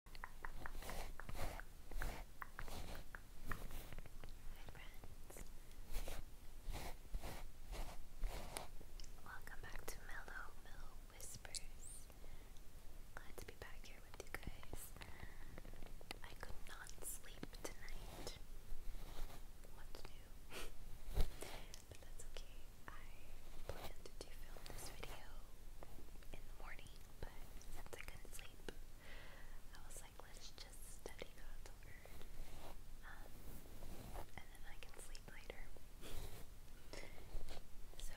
Welcome back to Mellow Mellow Whispers. Glad to be back here with you guys. I could not sleep tonight. What's new? but that's okay. I plan to film this video in the morning but since I couldn't sleep, I was like, let's just study God's Word, um, and then I can sleep later. so,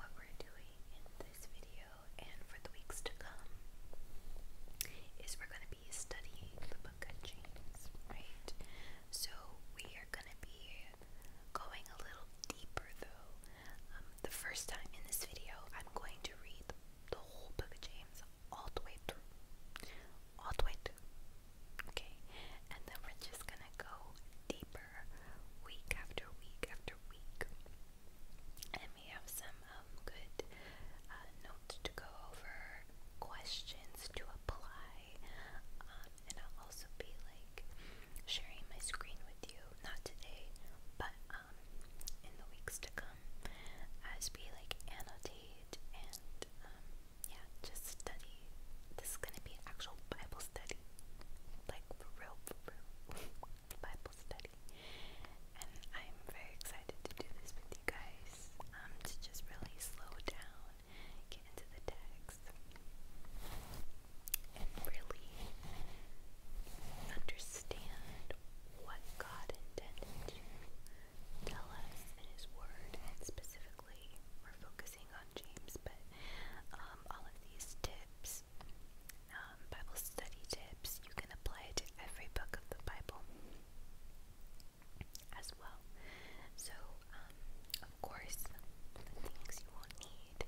what we're doing in this video and for the weeks to come is we're going to be studying the book of James, right? So, we are going to be going a little deeper though. Um, the first time in this video, I'm going to read the, whole book of James all the way through. All the way through. Okay? And then we're just gonna go deeper week after week after week. And we have some um, good uh, notes to go over, questions to apply, um, and I'll also be like sharing my screen with you. Not today, but um, in the weeks to come, as we like annotate and um, yeah, just study. This is gonna be actual Bible study, like for real, for real, Bible study. And I'm very excited to do this with you guys. Um, to just really slow down, get into the text and really understand what God intended to tell us in His Word, and specifically, we're focusing on James, but um, all of these tips, um, Bible study tips, you can apply to every book of the Bible as well. So, um, of course, the things you will need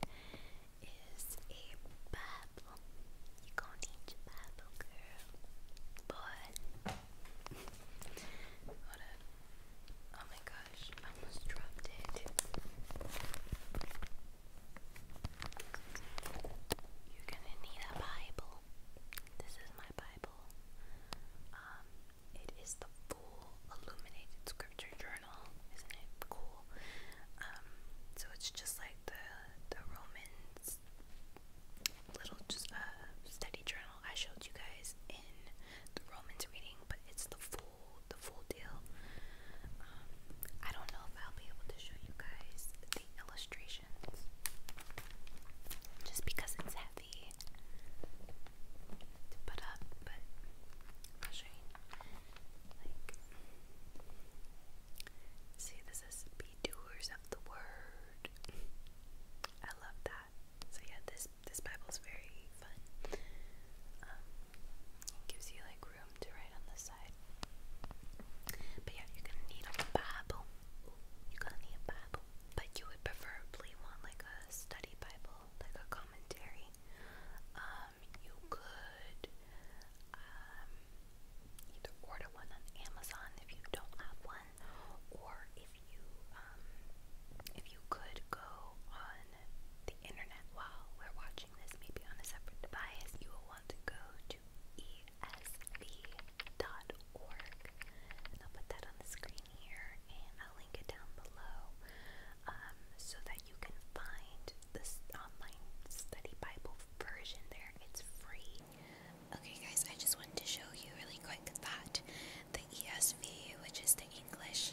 is a Bible. You gonna need your Bible, girl. Boy. Oh my gosh, I almost dropped it. You're gonna need a Bible. This is my Bible. Um, it is the full illuminated journal. Isn't it cool? Um, so it's just like the the Romans little just uh, study journal I showed you guys in the Romans reading, but it's the full the full deal. Um, I don't know if I'll be able to show you guys the illustrations just because it's heavy to put up, but see, this is be doers of the word. I love that. So yeah, this this Bible's very fun. Um, gives you like room to write on the side. But yeah, you're gonna need a Bible. You're gonna need a Bible, but you would preferably want like a study Bible, like a commentary. Um, um, you could um, either order one on Amazon if you don't have one, or if you um, if you could go on the internet while we're watching this, maybe on a separate device, you will want to go to esv.org. I'll put that on the screen here, and I'll link it down below. Um, so that you can find this online study Bible version there. It's free. Okay, guys, I just wanted to show you really quick that the ESV, which is the English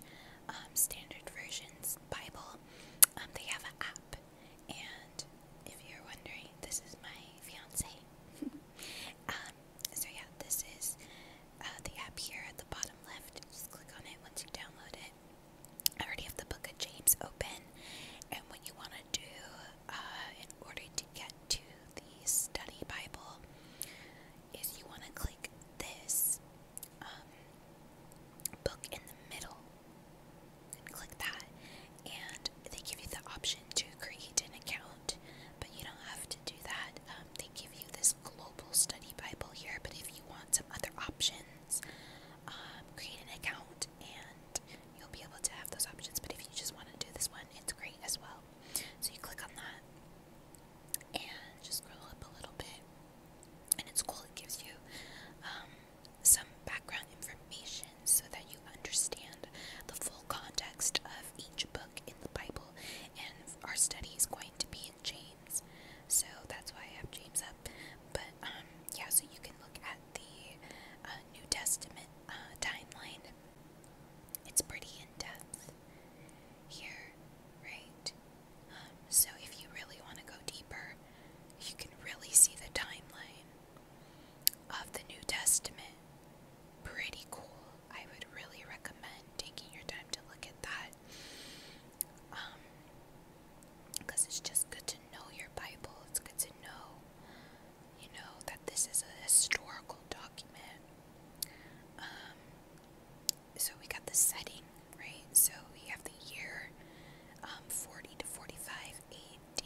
um, Standard Version's Bible, um, they have an app. And if you're wondering, this is my fiance. so yeah, this is uh, the app here at the bottom left. Just click on it once you download it. I already have the Book of James open, and what you want to do uh, in order to get to the study Bible is you want to click this um, book in the middle and click that, and they give you the option to create an account, but you don't have to do that. Um, they give you this global study Bible here, but if you want some other options, um, create an account and you'll be able to have those options. But if you just want to do this one, it's great as well. So you click on that and just scroll up a little bit, and it's cool, it gives you um, some background information so that you understand the full context of each book in the Bible. And our study is going to be in James so that's why I have James up. But um, yeah, so you can look at the uh, New Testament uh, timeline. It's pretty in depth here, right? so if you really want to go deeper, you can really see the timeline of the New Testament. Pretty cool. I would really recommend taking your time to look at that. Um, because it's just good to know your Bible. It's good to know, you know, that this is a historical document. Um, so we got the setting, right? So we have the year um, 40 to 45 AD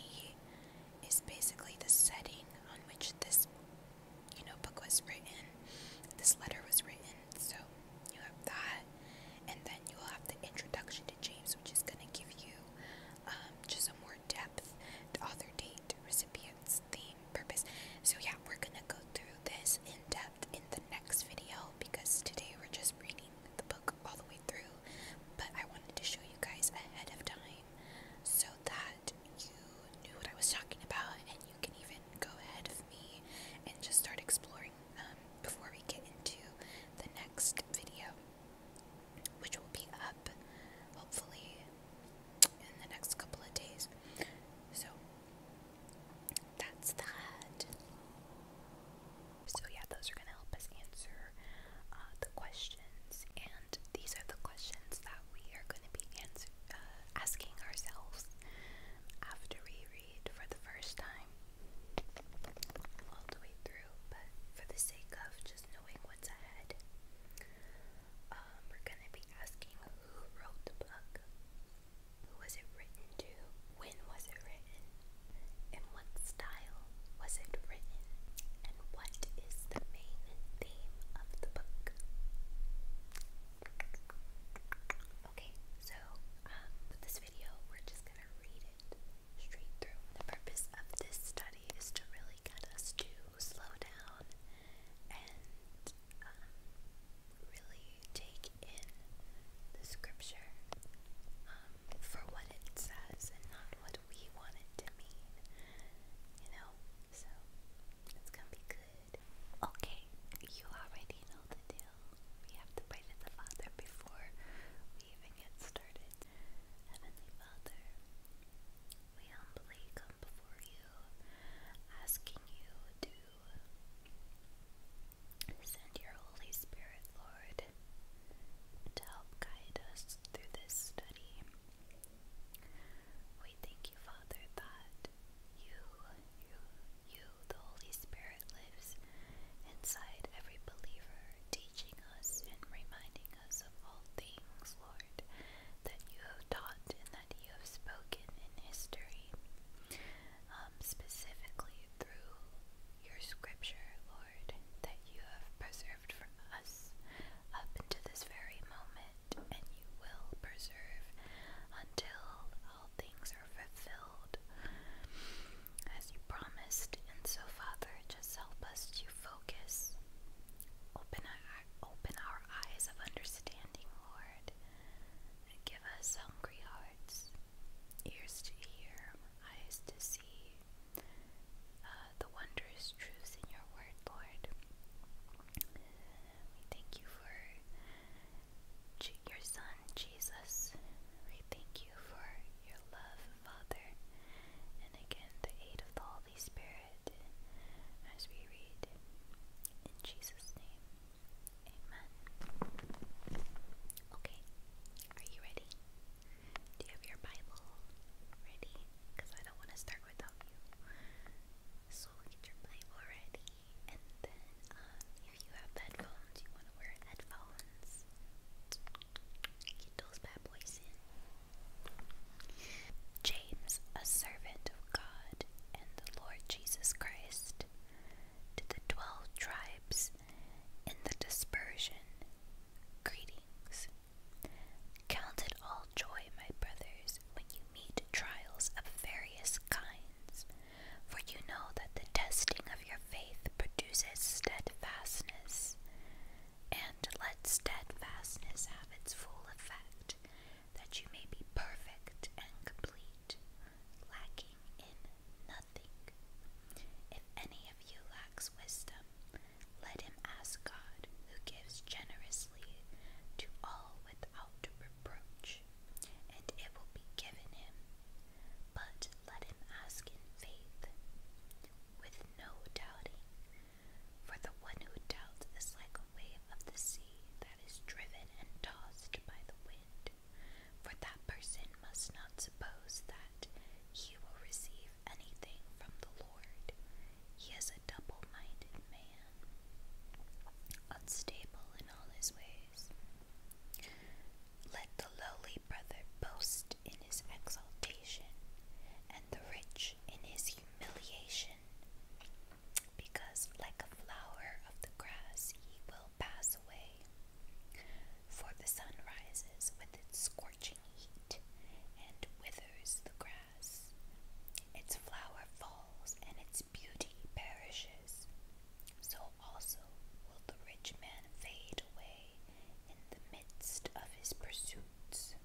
is basically the setting on which this, you know, book was written. This letter was written. So you have that, and then you will have the introduction to James, which is going to give you um, just a more depth author, date, recipients, theme, purpose. So yeah, we're going to go through this in depth in the next video because today we're just reading the book all the way through, but I wanted to show you guys ahead of time so that you knew what I was talking about and you can even go ahead of me and just start exploring um, before we get into the next video, which will be up hopefully in the next couple of days. So that's that. So yeah, those are gonna help us answer uh, the questions, and these are the questions that we are gonna be answer, uh, asking ourselves after we read for the first time all the way through, but for the sake of just knowing what's ahead, um, we're going to be asking who wrote the book, who was it written to, when was it written, in what style was it written, and what is the main theme of the book. Okay, so um, this video, we're just gonna read it straight through. The purpose of this study is to really get us to slow down and um, really take in the scripture um, for what it says and not what we want it to mean, you know? So it's gonna be good. Okay, you already know the deal. We have to pray to the Father before we even get started. Heavenly Father, we humbly come before you, asking you to send your Holy Spirit, Lord, to help guide us through this study. We thank you, Father, that you, you, you the Holy Spirit lives inside every believer, teaching us and reminding us of all things, Lord, that you have taught and that you have spoken in history, um, specifically through your scripture, Lord, that you have preserved for us up until this very moment, and you will preserve until all things are fulfilled as you promised. And so, Father, just help us to focus, open our, open our eyes of understanding, Lord, and give us hungry hearts, ears to hear, eyes to see uh, the wondrous truths in your word, Lord. We thank you for your Son, Jesus. We thank you for your love, Father. And again, the aid of the Holy Spirit as we read in Jesus' name. Amen. Okay, are you ready? Do you have your Bible ready? Because I don't want to start without you. So get your Bible ready. And then, um, if you have headphones, you want to wear headphones. Get those bad boys in. James, a servant of God and the Lord Jesus Christ, to the twelve tribes in the dispersion, greetings. Count it all joy, my brothers, when you meet trials of various kinds for you know that the testing of your faith produces steadfastness, and let steadfastness have its full effect, that you may be perfect and complete, lacking in nothing. If any of you lacks wisdom, let him ask God, who gives generously to all without reproach, much, and it will be given him. But let him ask in faith, with no doubting. For the one who doubts is like a wave of the sea that is driven and tossed by the wind. For that person must not suppose that he will receive anything from the Lord. He is a double minded man, unstable in all his ways. Let the lowly brother boast in his exaltation, and the rich in his humiliation, because like a flower of the grass he will pass away. For the sun rises with its scorching heat and withers the grass, its flower falls and its beauty perishes so also will the rich man fade away in the midst of his pursuits.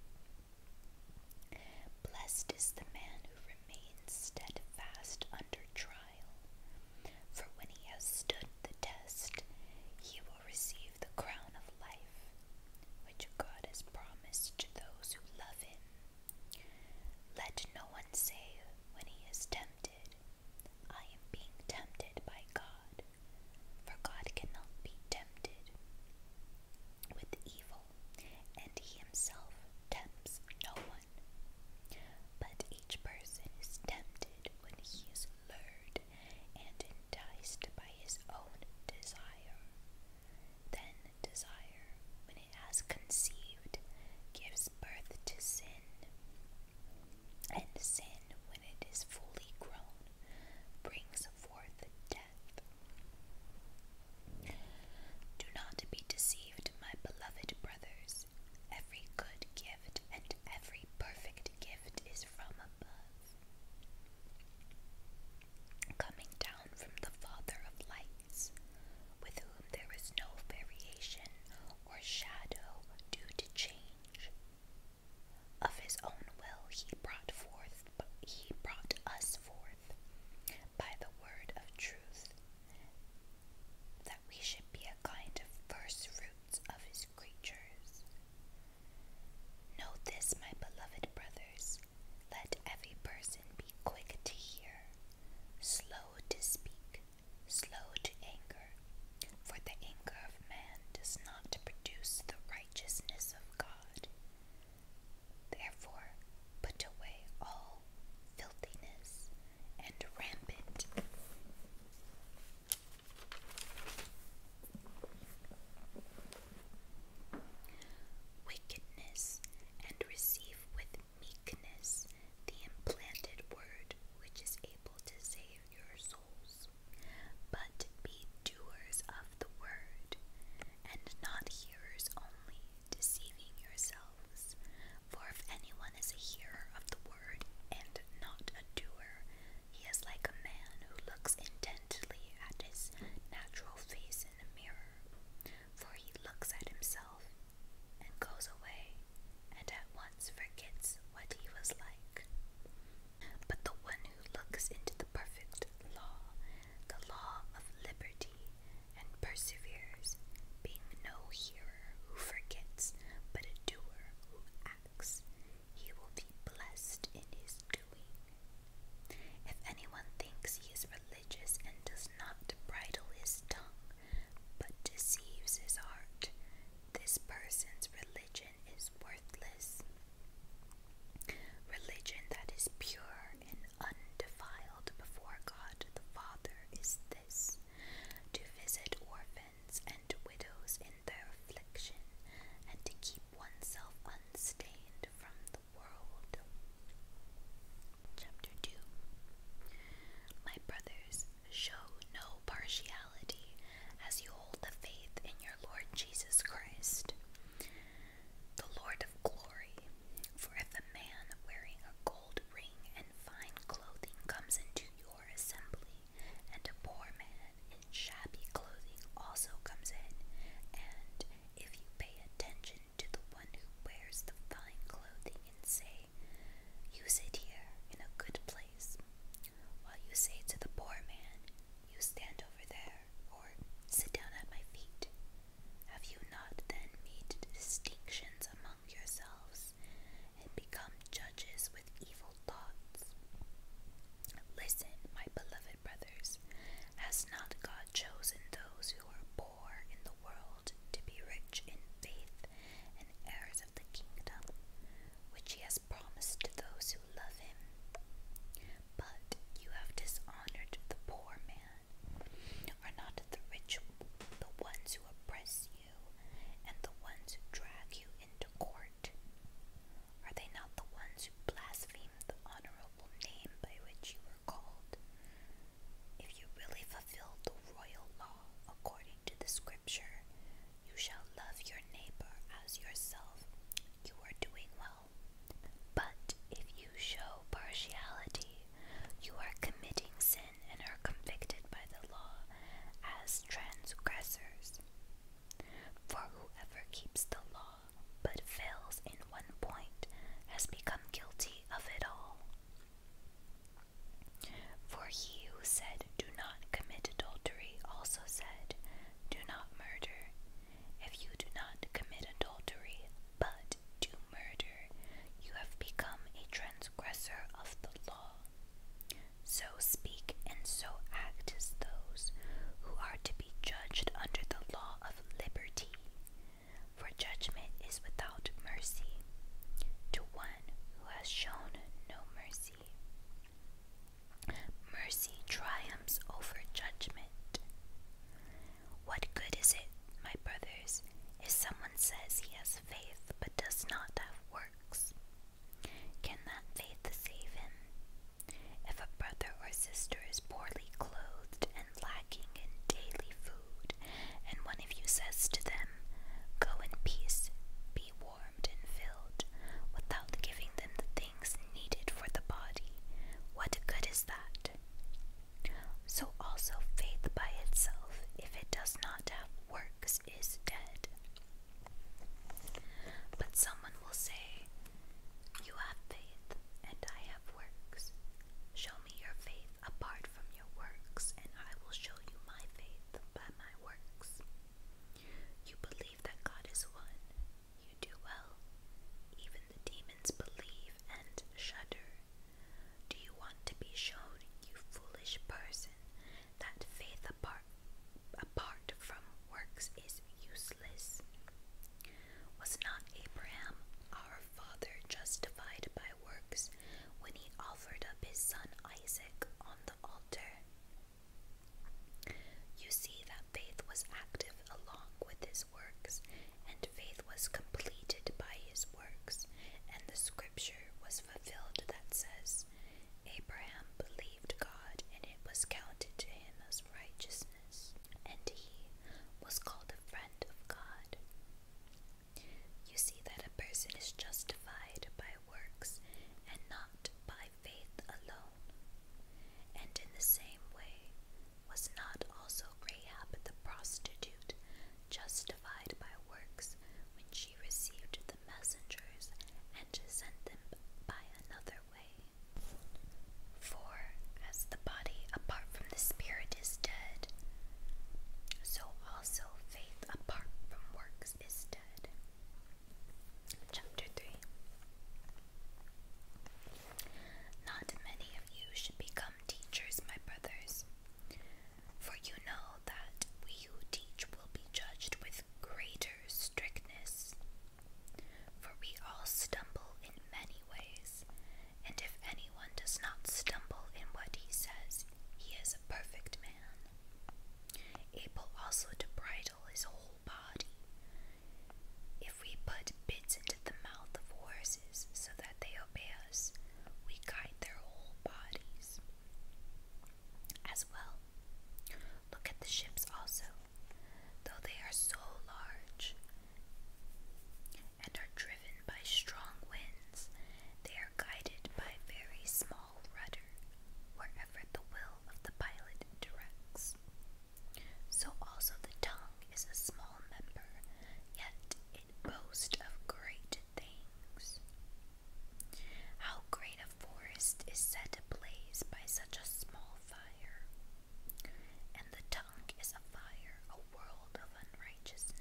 Blessed is the man who remains steadfast under trial, for when he has stood the test, he will receive the crown of life, which God has promised to those who love him. Let no one say when he is tempted, I am being tempted by God, for God cannot be tempted with evil, and he himself tempts no one. But each person is tempted when he is lured and enticed by his own desire. Then desire, when conceived, gives birth to sin. And sin, when it is fully grown, brings forth death. Do not be deceived, my beloved brothers. Every good gift and every perfect gift is from above, coming down from the Father of light with whom there is no variation or shadow due to change. Of his own will he brought forth he brought us forth by the word of truth, that we should be a kind of first fruits of his creatures. Know this, my beloved brothers, let every person be quick to hear, slow to speak, slow to anger, for the anger of man does not produce the righteousness of God. Therefore, put away all filthiness and rampant. Wickedness and receive with meekness, the implanted word which is able to save your souls. But be doers of the word, and not hearers only, deceiving yourselves. For if anyone is a hearer of the word and not a doer, he is like a man who looks intently at his natural face in a mirror for he looks at himself and goes away and at once forgets what he was like. But the one who looks into the perfect law, the law of liberty, and perseveres, being no hearer who forgets, but a doer who acts, he will be blessed in his doing. If anyone thinks he is religious and does not bridle his tongue, but deceives his heart. This person's religion is worthless. Religion that is pure and undefiled before God the Father is this to visit orphans and widows in their affliction, and to keep oneself unstained from the world. Chapter 2 My brothers, show no partiality as you hold the faith in your Lord Jesus Christ, the Lord of glory. For if a man wearing a gold ring and fine clothing comes into your assembly, and a poor man in shabby clothing also comes in, and if you pay attention to the one who wears the fine clothing and say, "You sit here in a good place, while you say to the poor man, You stand over there, or sit down at my feet. Have you not then made distinctions among yourselves and become judges with evil thoughts? Listen, my beloved brothers, has not God chosen those who are poor? poor in the world to be rich in faith and heirs of the kingdom, which he has promised to those who love him. But you have dishonored the poor man. Are not the rich the ones who oppress you, and the ones who drag you into court? Are they not the ones who blaspheme the honorable name by which you were called? If you really fulfill the royal law according to the scripture, you shall love your neighbor as yourself, you are doing well. But if you show partiality, you are committing sin and are convicted by the law as transgressors. For whoever keeps the law but fails in one point has become guilty of it all. For he who said, Do not commit adultery, also said, Do not murder. If you do not commit adultery, but do murder, you have become a transgressor of the law. So speak and so act as those who are to be judged under the law of liberty for judgment is without mercy to one who has shown no mercy. Mercy triumphs over judgment. What good is it, my brothers, if someone says he has faith but does not have works? Can that faith save him? If a brother or sister is poorly clothed and lacking in daily food, and one of you says to them, Go in peace, be warmed and filled, without giving them the things needed for the body, what good is that? So also faith by itself, if it does not have works, is dead. But someone will say, You have faith, and I have works. Show me your faith apart from your works, and I will show you my faith by my works. You believe that God is one. You do well. Even the demons believe and shudder. Do you want to be shown, you foolish person, that faith apart, apart from works is useless? Was not Abraham, our father, justified by works when he offered up his son Isaac on the altar. You see that faith was active along with his works, and faith was completed by his works, and the scripture was fulfilled that says, Abraham believed God, and it was counted to him as righteousness, and he was called a friend of God. You see that a person is justified by works and not by faith alone. And in the same way, was not also Rahab the prostitute justified by works when she received the messengers and sent them by another way? For as the body apart from the spirit is dead, so also faith apart from works is dead. Chapter 3 Not many of you should become teachers, my brothers, for you know that we who teach will be judged with greater strictness. For we all stumble in many ways, and if anyone does not stumble in what he says, he is a perfect man, able also to bridle his whole body. If we put bits into the mouth of horses so that they obey us, we guide their whole bodies. As well, look at the ships also, though they are so large, and are driven by strong winds. They are guided by very small rudder wherever the will of the pilot directs. So also the tongue is a small member, yet it boasts of great things. How great a forest is set ablaze by such a small fire! And the tongue is a fire, a world of unrighteousness.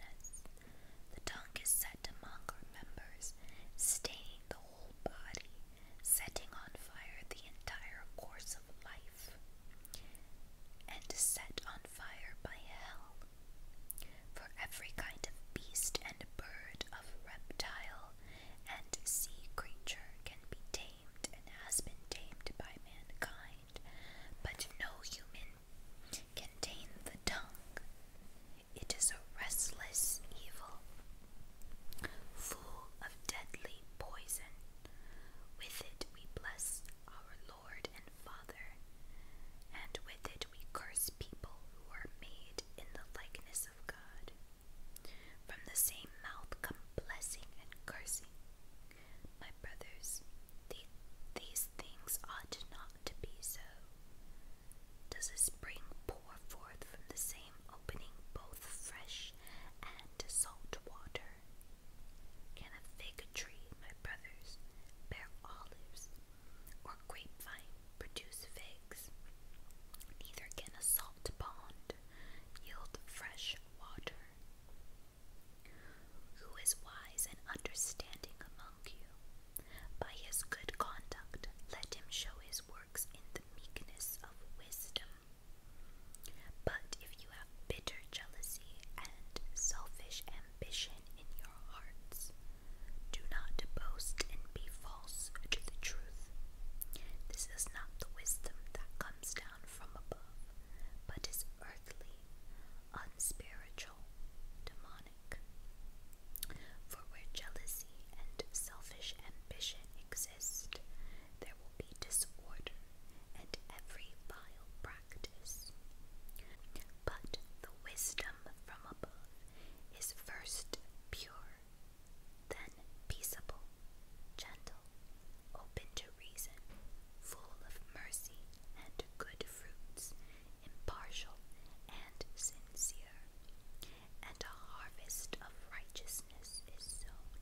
The dung is set among our members, staining the whole body, setting on fire the entire course of life, and set on fire by hell. For every kind of beast and bird, of reptile and sea creature can be tamed and has been tamed by mankind, but no human contain the tongue. It is a restless evil, full of deadly poison. With it we bless our Lord and Father, and with it we curse people who are made in the likeness of God. From the same mouth come blessing and cursing. My brothers, these things ought not to be so. Does a spring pour forth from the same opening both fresh and salt water? Can a fig tree, my brothers, bear olives, or grapevine produce figs? Neither can a salt pond yield fresh water. Who is wise and understanding among you? By his good conduct, let him show his works in the meekness of wisdom. But if you have bitter jealousy and selfish ambition in your hearts, do not boast and be false to the truth. This is not the wisdom that comes down from above, but is earthly, unspiritual for where jealousy and selfish ambition exist, there will be disorder and every vile practice. But the wisdom from above is first pure, then peaceable, gentle, open to reason, full of mercy and good fruits, impartial and sincere. And a harvest of righteousness is sown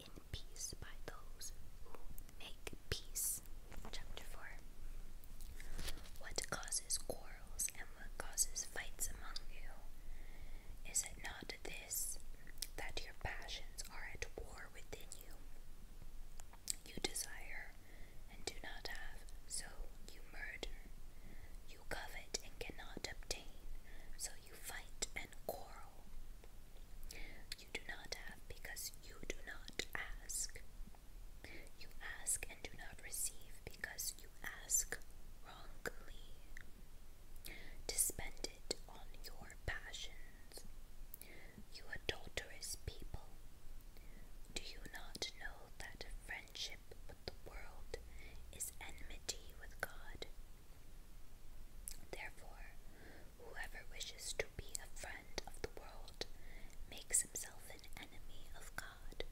in peace by those who make peace. Chapter 4 What causes quarrels and what causes fights among you? Is it not this that your passions are at war within you? You desire and do not have, so you murder. You covet and cannot obtain, so you fight and quarrel. You do not have because you do not ask. You ask and do not receive because you ask wrongly to spend it on your passions you adulterous people. Do you not know that friendship with the world is enmity with God? Therefore, whoever wishes to be a friend of the world makes himself an enemy of God.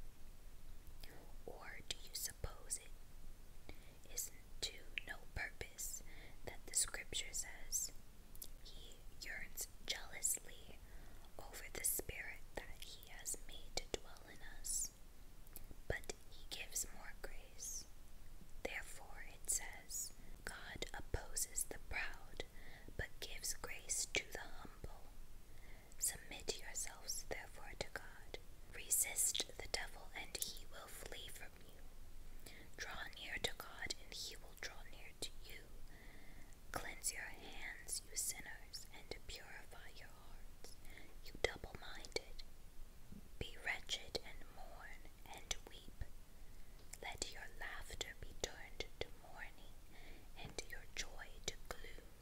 Or do you suppose it isn't to no purpose that the scripture says, he yearns jealously over the spirit that he has made to dwell in us, but he gives more grace. Therefore, it says, God opposes the proud, but gives grace to the humble. Submit yourselves, therefore, to God. Resist the devil, and he will flee from you. Draw near to God, and he will draw near you. Cleanse your hands, you sinners, and purify your hearts, you double minded. Be wretched and mourn and weep. Let your laughter be turned to mourning and your joy to gloom.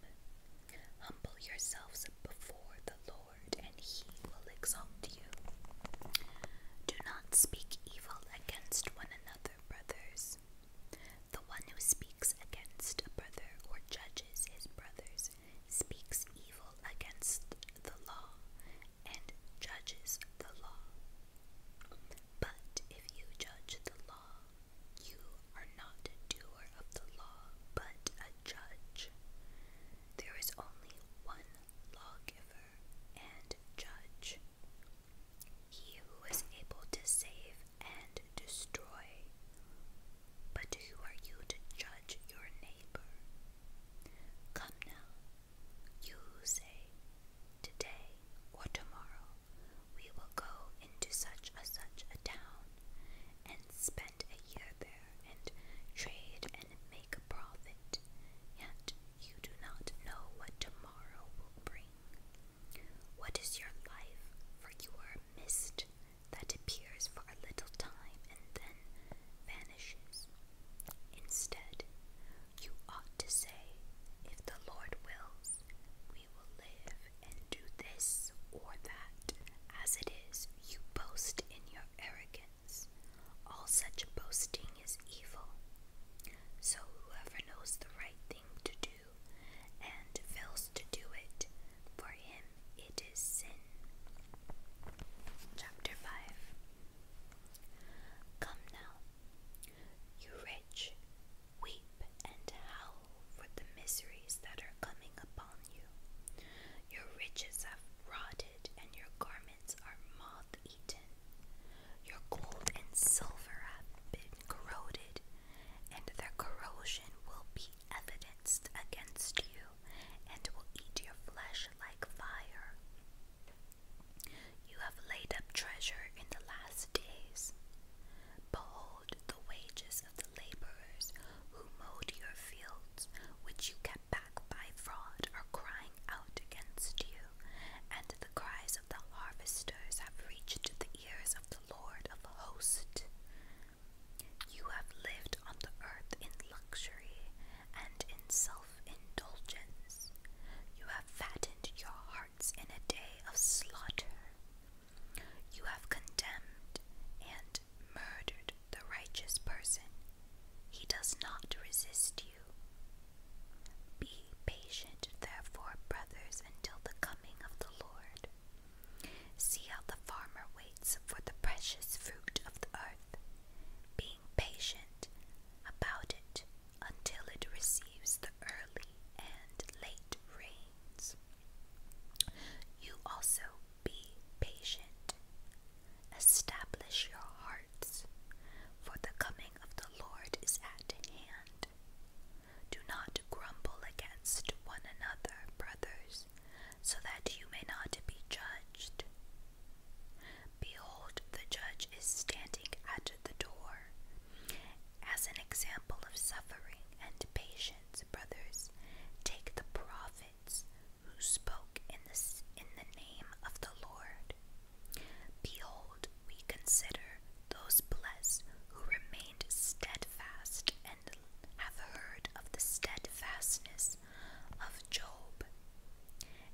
Humble yourselves before the Lord, and he will exalt you. Do not speak evil against one another brothers. The one who speaks against a brother or judges his brothers speaks evil against the law and judges the law. But if you judge the law, you are not a doer of the law, but a judge. There is only one lawgiver and judge. He who is able to save and destroy. But who are you to judge your neighbor? Come now, you who say, Today or tomorrow we will go into such a such a town, and spend a year there, and trade and make a profit, yet you do not know what tomorrow will bring. What is your life? For you are a mist that appears for a little time and then vanishes. Instead, you ought to say, If the Lord wills, we will live and do this or that. As it is, you boast in your arrogance. All such boasting is evil. So whoever knows the right thing to do and fails to do it, for him it is sin. Chapter 5 Come now, you rich, weep and howl for the miseries that are coming upon you. Your riches have rotted, and your garments are moth eaten. Your gold and silver have been corroded, and their corrosion will be evidenced against you, and will eat your flesh like fire. You have laid up treasure in the last days. Behold the wages of the laborers who mowed your fields, which you kept back by fraud, are crying out against you and the cries of the harvesters have reached the ears of the Lord of hosts. You have lived on the earth in luxury and in self indulgence. You have fattened your hearts in a day of slaughter. You have condemned and murdered the righteous person. He does not resist you. Be patient, therefore, brothers, until the coming of the Lord. See how the farmer waits for the precious fruit of the earth, being patient about it until it receives the early and late rains. You also be patient. Establish your hearts, for the coming of the Lord is at hand. Do not grumble against one another, brothers, so that you may not be judged. Behold, the judge is standing at the door. As an example of suffering and patience, brothers, take the prophets who spoke in the, in the name of the Lord. Behold, we consider those blessed who remained steadfast and have heard of the steadfastness of Job.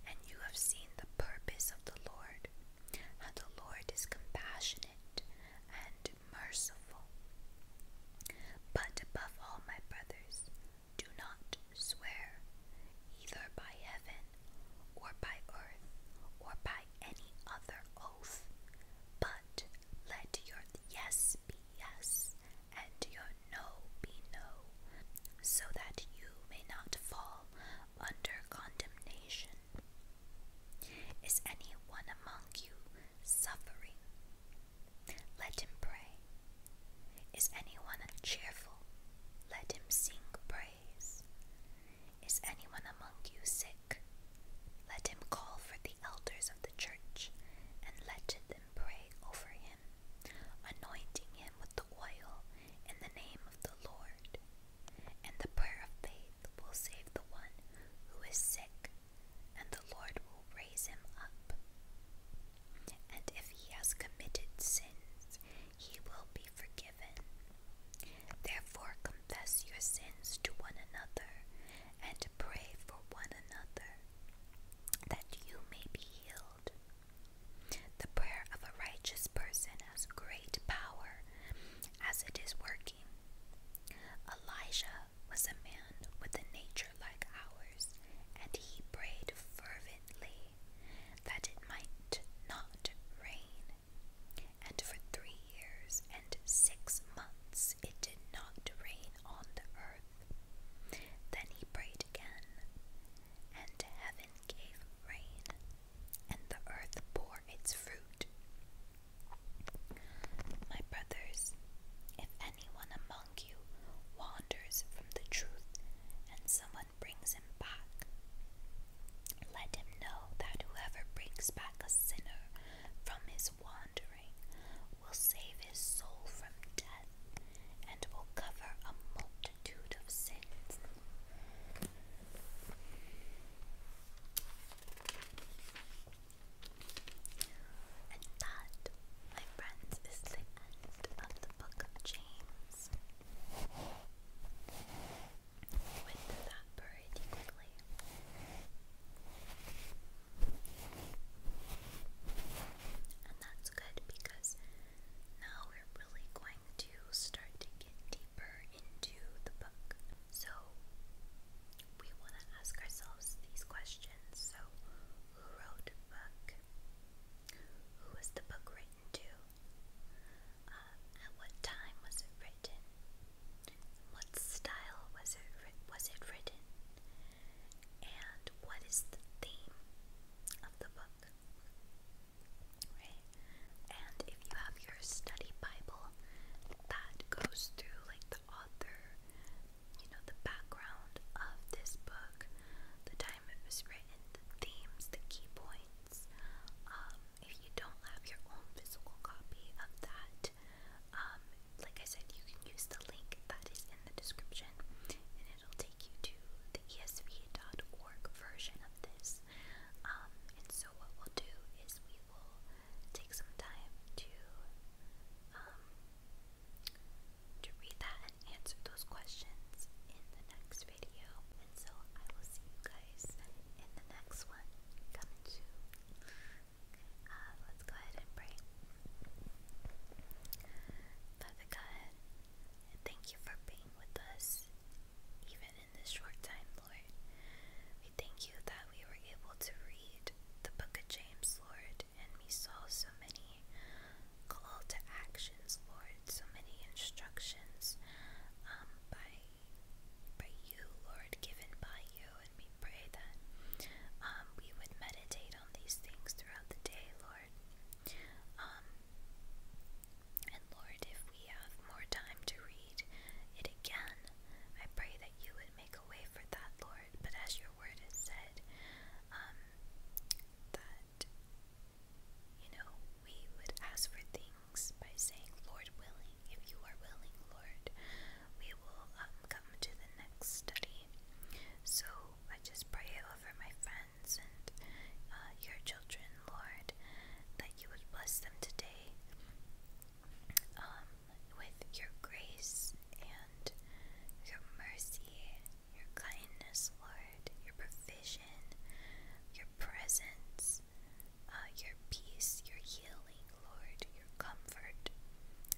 And you have seen the purpose of the Lord, And the Lord is compassionate and merciful. But above all, my brothers, do not swear either by heaven or by earth, or by any other oath, but let your yes be yes, and your no be no, so that you may not fall under condemnation. Is any one among you suffering? Let him pray. Is anyone cheerful? Let him sing praises. Is anyone among you sick? Let him call for the elders of the church, and let them pray over him, anointing him with the oil in the name of the Lord. And the prayer of faith will save the one who is sick, and the Lord will raise him up. And if he has committed sins, he will be forgiven. Therefore, confess your sins to one another and pray for one another that you may be healed. The prayer of a righteous person has great power as it is working. Elijah was a man with a nature like ours, and he prayed fervently that it might not rain, and for three years and six months it did not rain on the earth. Then he prayed again, and heaven gave rain, and the earth bore its fruit. My brothers, if anyone among you wanders from the truth and someone brings him back. Let him know that whoever brings back a sinner from his wandering will save his soul from death and will cover a multitude of sins. And that, my friends, is the end of the book of James. You that pretty quickly. And that's good because now we're really going to start to get deeper into the book. So we want to ask ourselves these questions. So, who wrote the book? Who was the book written to? Uh, at what time was it written? What style was it was it written? And what is the theme of the book? Right? And if you have your study Bible, that goes through like the author, you know, the background of this book, the time it was written, the themes, the key points minutes. Um, if you don't have your own physical copy of that, um, like I said, you can use the link that is in the description and it'll take you to the esv.org version of this. Um, and so, what we'll do is we will take some time to. to read that answer those questions in the next video. And so I will see you guys in the next one coming soon. Uh, let's go ahead and pray. Father God, thank you for being with us even in this short time, Lord. We thank you that we were able to read the book of James, Lord, and we saw so many call to actions, Lord. So many instructions um, by by you, Lord, given by you, and we pray that um, we would meditate on these things throughout the day, Lord. Um, and Lord, if we have more time to read it again, I pray that you would make a way for that, Lord. But as your word has said, um, that you know, we would ask for things by saying, Lord willing, if you are willing, Lord, we will um, come to the next study. So I just pray over my friends and uh, your children, Lord, that you would bless them today um, with your grace and your mercy your kindness, Lord, your provision, your presence, uh, your peace, your healing, Lord, your comfort.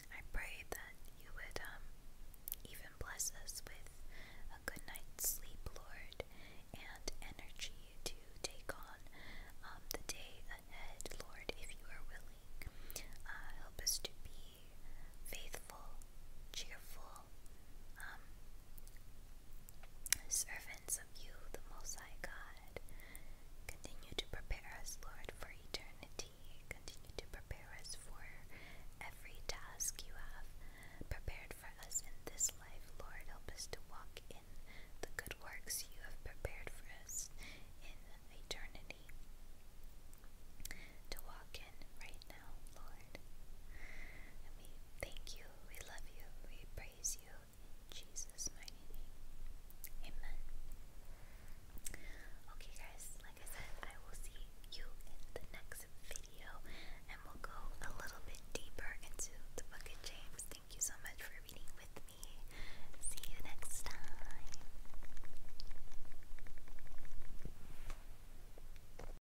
I pray that you would um, even bless us with a good night's sleep, Lord, and energy to take on um, the day ahead, Lord, if you are willing. Uh, help us to be faithful cheerful um, servants of you, the Most High God. Continue to prepare us, Lord, for eternity. Continue to prepare us for every task you have prepared for us in this life, Lord. Help us to walk in the good works you have prepared for us in eternity. To walk in right now, Lord. we thank you, we love you, we praise you Jesus' mighty name. Amen. Okay, guys, like I said, I will see you in the next video, and we'll go a little bit deeper into the book of James. Thank you so much for reading with me. See you next time.